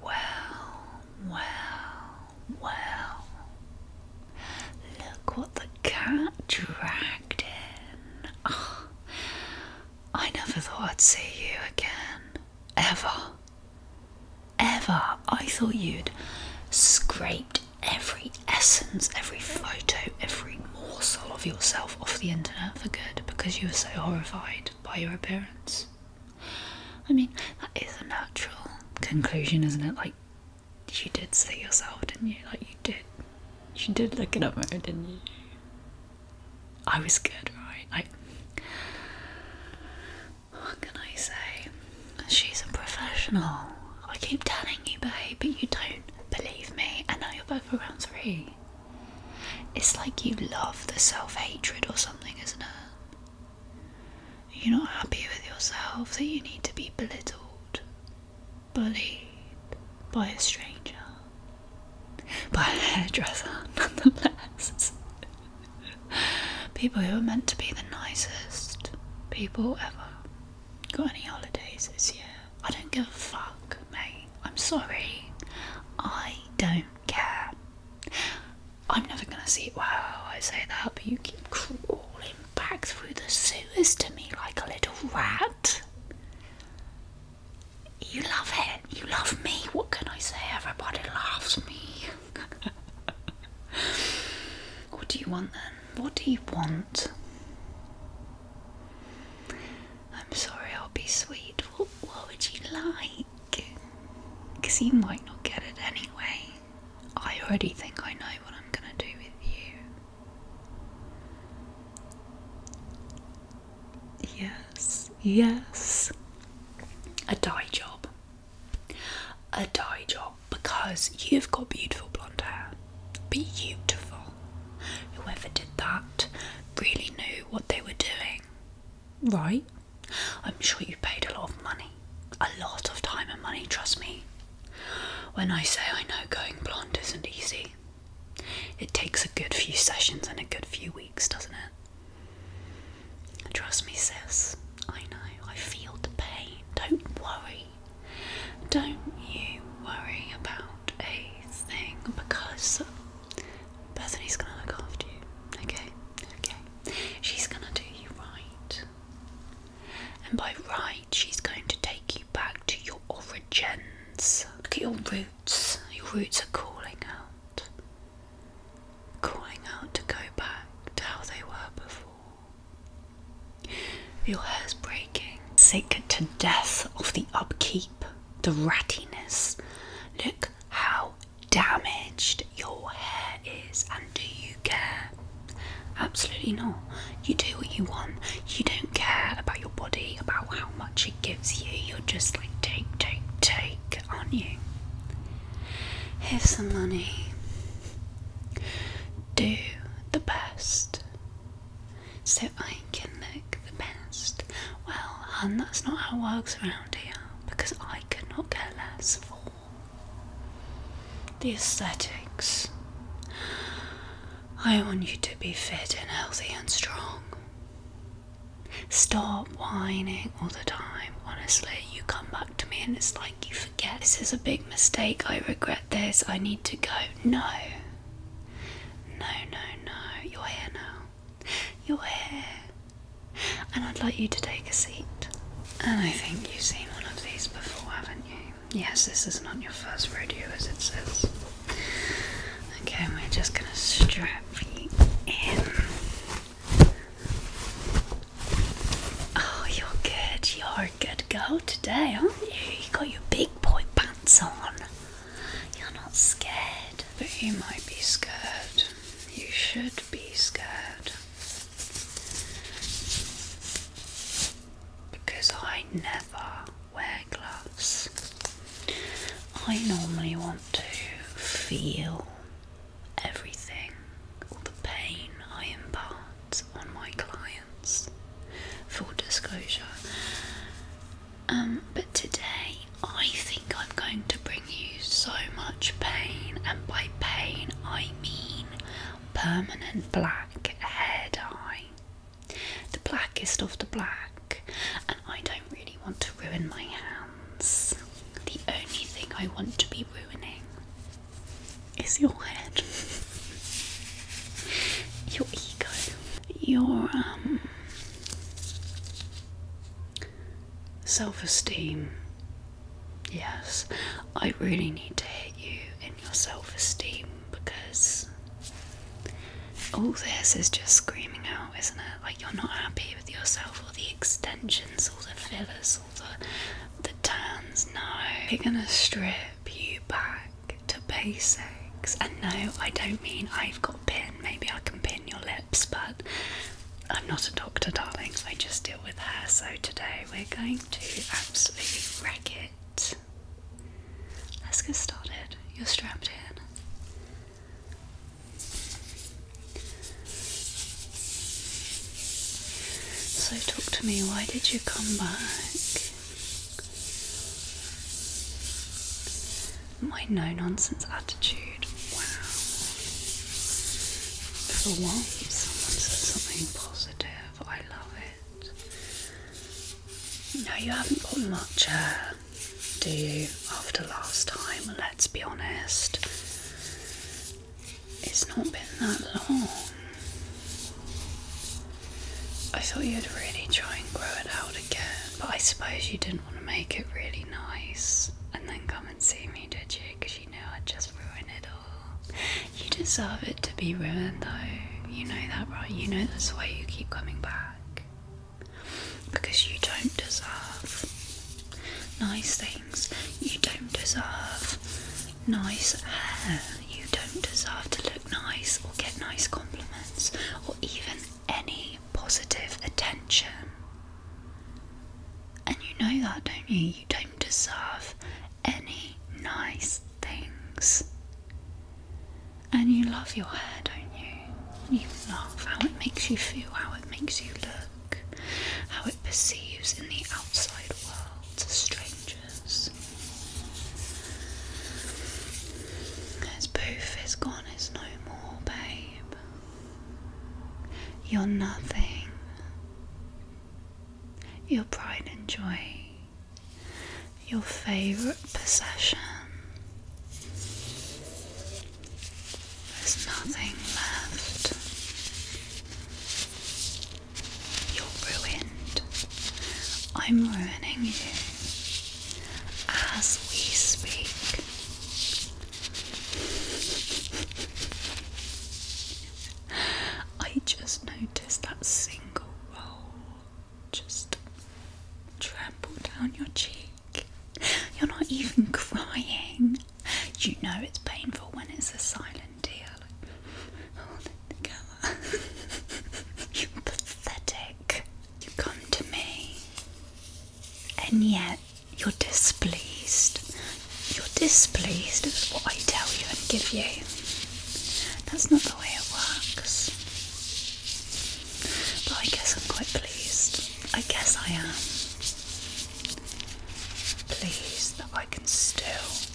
Well, well, well. Look what the cat dragged in. I never thought I'd see you again. Ever. Ever. I thought you'd scraped every essence, every photo, every morsel of yourself off the internet for good because you were so horrified by your appearance. I mean, that is a natural conclusion, isn't it? Like, you did see yourself, didn't you? Like, you did. You did look at a mirror, didn't you? I was good, right? Like, what can I say? She's a professional. I keep telling you, babe, but you don't believe me. And now you're both for round three. It's like you love the self hatred or something, isn't it? You're not happy with yourself that you need to be belittled, bullied by a stranger, by a hairdresser, nonetheless. people who are meant to be the nicest people ever. Got any holidays this year? I don't give a fuck, mate. I'm sorry. I don't care. I'm never gonna see. Wow, I say that, but you keep crawling back through the sewers to me like a little rat. You love it. You love me. What can I say? Everybody loves me. what do you want then? What do you want? I'm sorry, I'll be sweet. What, what would you like? because he might not get it anyway. I already think I know what I'm gonna do with you. Yes, yes. A dye job. A dye job because you've got beautiful blonde hair. Beautiful. Whoever did that really knew what they were doing. Right. I'm sure you paid a lot of money. A lot of time and money, trust me. When I say I know going blonde isn't easy, it takes a good few sessions and a good few weeks, doesn't it? Trust me, sis. I know. I feel the pain. Don't worry. Don't you worry about a thing because Bethany's gonna look after you, okay? Okay. She's gonna do you right. And by right, she's going to take you back to your origins. Look at your roots. Your roots are calling out. Calling out to go back to how they were before. Your hair's breaking. Sick to death of the upkeep, the rattiness. Look how damaged your hair is, and do you care? Absolutely not. You do what you want. You don't care about your body, about how much it gives you. You're just like, take, take, take, aren't you? Here's some money. Do the best so I can live the best. Well, hun, that's not how it works around here because I could not care less for the aesthetics. I want you to be fit and healthy and strong. Stop whining all the time. Honestly, you come back to me and it's like you forget this is a big mistake. I regret this. I need to go. No. No, no, no. You're here now. You're here. And I'd like you to take a seat. And I think you've seen one of these before, haven't you? Yes, this is not your first rodeo, as it says. Okay, we're just going to strap you in. Oh, you're good. You're a good girl today, aren't you? You got your big boy pants on. You're not scared. But you might be scared. You should be scared. Because I never wear gloves. I normally want to feel everything, all the pain I impart on my clients. Full disclosure, um, but today I think I'm going to bring you so much pain, and by pain I mean permanent black hair dye. The blackest of the black, and I don't really want to ruin my hands. The only thing I want to be ruining is your head, your ego, your um Self esteem. Yes, I really need to hit you in your self esteem because all this is just screaming out, isn't it? Like you're not happy with yourself, all the extensions, all the fillers, all the, the tans. No, they're gonna strip you back to basics. And no, I don't mean I've got pins maybe I can pin your lips, but I'm not a doctor, darling. I just deal with hair. So today we're going to absolutely wreck it. Let's get started. You're strapped in. So, talk to me, why did you come back? My no nonsense attitude. Wow. For once, someone said something positive. I love it. No, you haven't got much hair, uh, do you? After last time, let's be honest. It's not been that long. I thought you'd really try and grow it out again, but I suppose you didn't want to make it really nice and then come and see me, did you? Because you know i just ruin it all. You deserve it to be ruined, though. You know that, right? You know that's why you keep coming back. Because you don't deserve nice things. You don't deserve nice hair. You don't deserve to look nice or get nice compliments or even any positive attention. And you know that, don't you? You don't deserve any nice things. And you love your hair, don't you? You love how it makes you feel, how it makes you look, how it perceives in the outside world to strangers. His booth is gone one no more, babe. You're nothing. Your pride and joy, your favourite possession. There's nothing left. You're ruined. I'm ruining you as we speak. I just noticed that single roll just trample down your cheek. You're not even crying. You know it's painful when it's a silent tear. you pathetic. You come to me and yet you're displeased. You're displeased with what I tell you and give you. That's not the way it works. But I guess I'm quite pleased. I guess I am. Pleased that I can still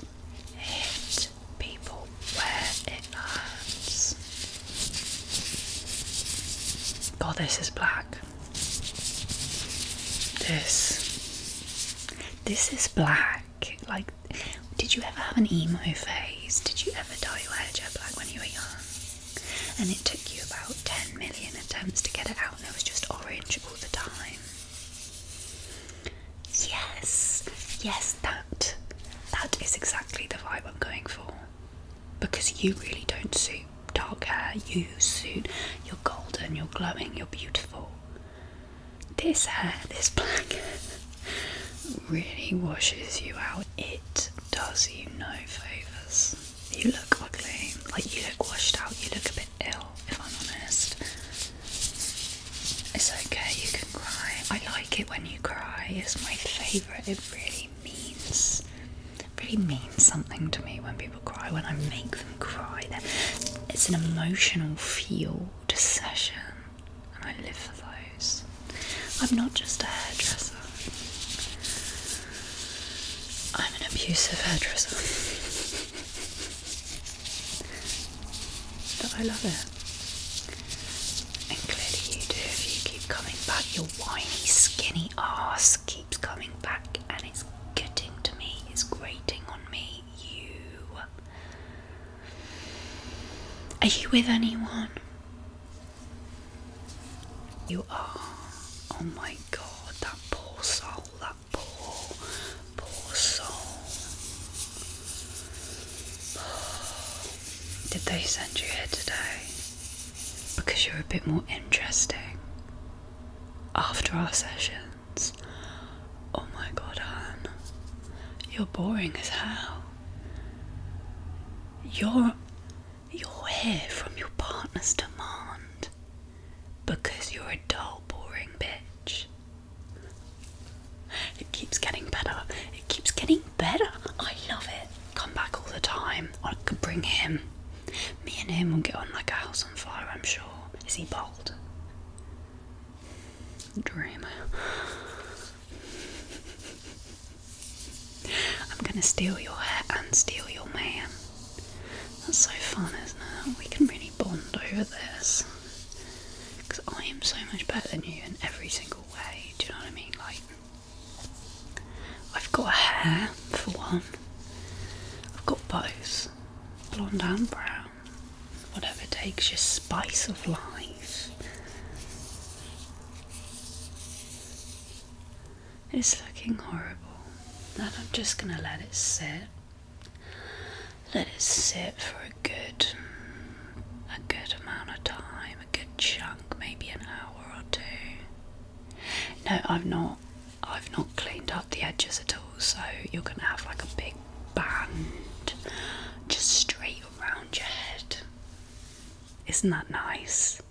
hit people where it hurts. God, this is black. This. This is black. Like, did you ever have an emo phase? Did you ever dye your hair jet black when you were young? And it took you about 10 million attempts to get it out, and it was just orange all the time. Yes, yes, that. That is exactly the vibe I'm going for because you really don't suit dark hair, you suit you're golden, you're glowing, you're beautiful. This hair, this black really washes you out. It does you no favours. You look ugly, like you look washed out, you look a bit ill, if I'm honest. It's okay, you can cry. I like it when you cry, it's my favourite, it really really means really means something to me when people cry, when I make them cry. it's an emotional field session and I live for those. I'm not just a hairdresser. I'm an abusive hairdresser. but I love it. And clearly you do you keep coming back. Your whiny, skinny ass keeps coming back and it's getting to me, it's grating on me. You. Are you with anyone? You are. Oh my god, that poor soul, that poor, poor soul. Did they send you here today? because you're a bit more interesting after our sessions. Oh my god, Han, you're boring as hell. You're you here from your partner's demand because you're a dull, boring bitch. It keeps getting better. It keeps getting better. I love it. Come back all the time. I could bring him. Me and him will get on like a house on fire, I'm sure. Is he bald? Dreamer. I'm gonna steal your hat and steal your man. That's so fun, isn't it? We can really bond over this. Because I am so much better than you in every single way. Do you know what I mean? Like, I've got hair for one. I've got both, blonde and brown. Whatever takes your spice of life. It's looking horrible. And I'm just gonna let it sit. Let it sit for a good a good amount of time, a good chunk maybe an hour or two. No, I've not I've not cleaned up the edges at all, so you're gonna have like a big band just straight around your head. Isn't that nice?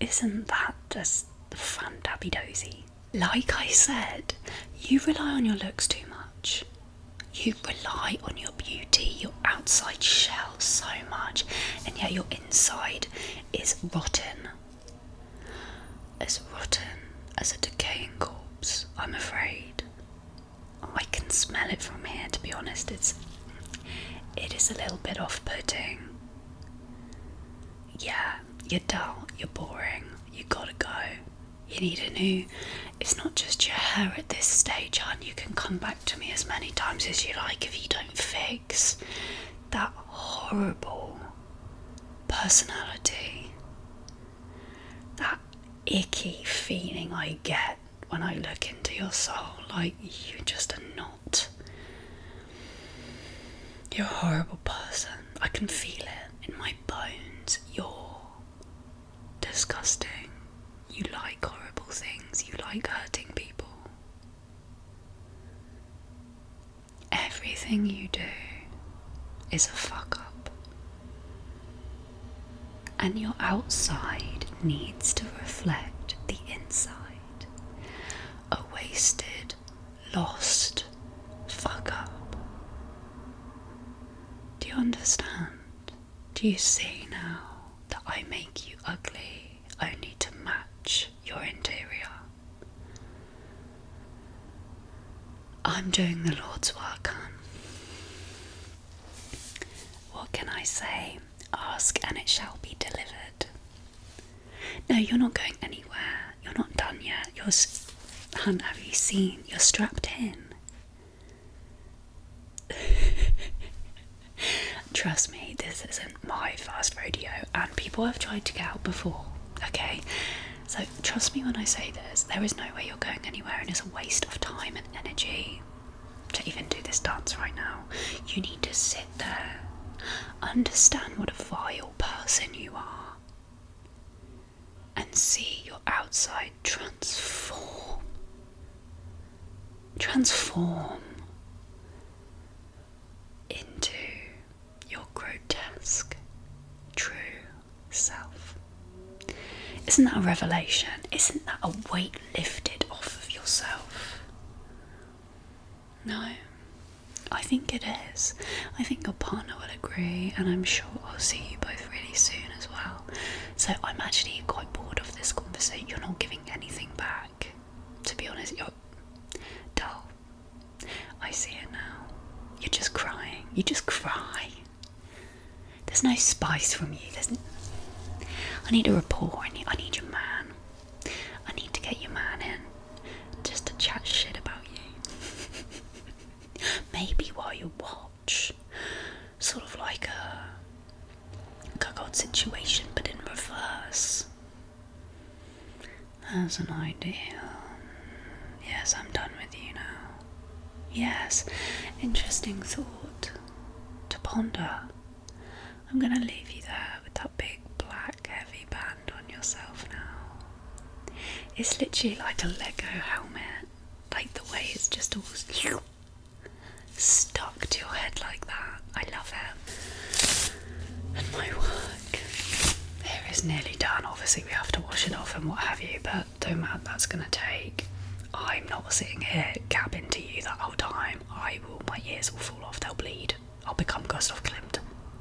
Isn't that just fun, dabby dozy? Like I said, you rely on your looks too much. You rely on your beauty, your outside shell so much, and yet your inside is rotten. As rotten as a decaying corpse, I'm afraid. Oh, I can smell it from here to be honest, it's it is a little bit off putting. Yeah, you're dull, you're boring, you gotta go. You need a new it's not just your hair at this stage, hon. You can come back to me as many times as you like if you don't fix that horrible personality, that icky feeling I get when I look into your soul like you're just a knot. You're a horrible person. I can feel it in my bones. You're disgusting. You like horrible things. You like hurting people. Everything you do is a fuck up. And your outside needs to reflect the inside. A wasted, lost fuck up. Do you understand? Do you see now? that I make you ugly only to match your interior. I'm doing the Lord's work, hon. What can I say? Ask and it shall be delivered. No, you're not going anywhere. You're not done yet. You're, hun, have you seen? You're strapped in. Trust me, this isn't my first rodeo, and people have tried to get out before, okay? So, trust me when I say this, there is no way you're going anywhere, and it's a waste of time and energy to even do this dance right now. You need to sit there, understand what a vile person you are, and see your outside transform. Transform into your grotesque true self. Isn't that a revelation? Isn't that a weight lifted off of yourself? No, I think it is. I think your partner will agree, and I'm sure I'll see you both really soon as well. So I'm actually quite bored of this conversation. You're not giving anything back. To be honest, you're dull. I see it now. You're just crying. You just cry. There's no spice from you. There's. N I need a rapport. I need. I need your man. I need to get your man in, just to chat shit about you. Maybe while you're what? sort of like a cuckold situation, but in reverse. As an ideal, Yes, I'm done with you now. Yes, interesting thought to ponder. I'm gonna leave you there with that big black heavy band on yourself now. It's literally like a Lego helmet, like the way it's just all stuck to your head like that. I love it. And my work here is nearly done. Obviously, we have to wash it off and what have you, but don't matter, that's going to take. I'm not sitting here gabbing to you that whole time. I will, my ears will fall off, they'll bleed. I'll become Gustav Klimt.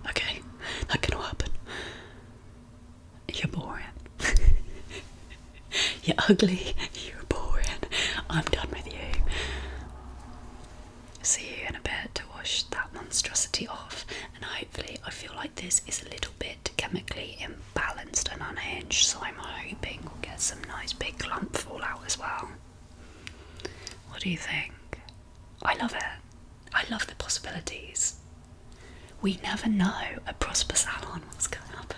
Okay? That can happen. You're boring. You're ugly. You're boring. I'm done with you. See you in a bit to wash that monstrosity off, and hopefully, I feel like this is a little bit chemically imbalanced and unhinged, so I'm hoping we'll get some nice big clump fallout as well. What do you think? I love it. I love the possibilities. We never know a prosper salon what's going to happen.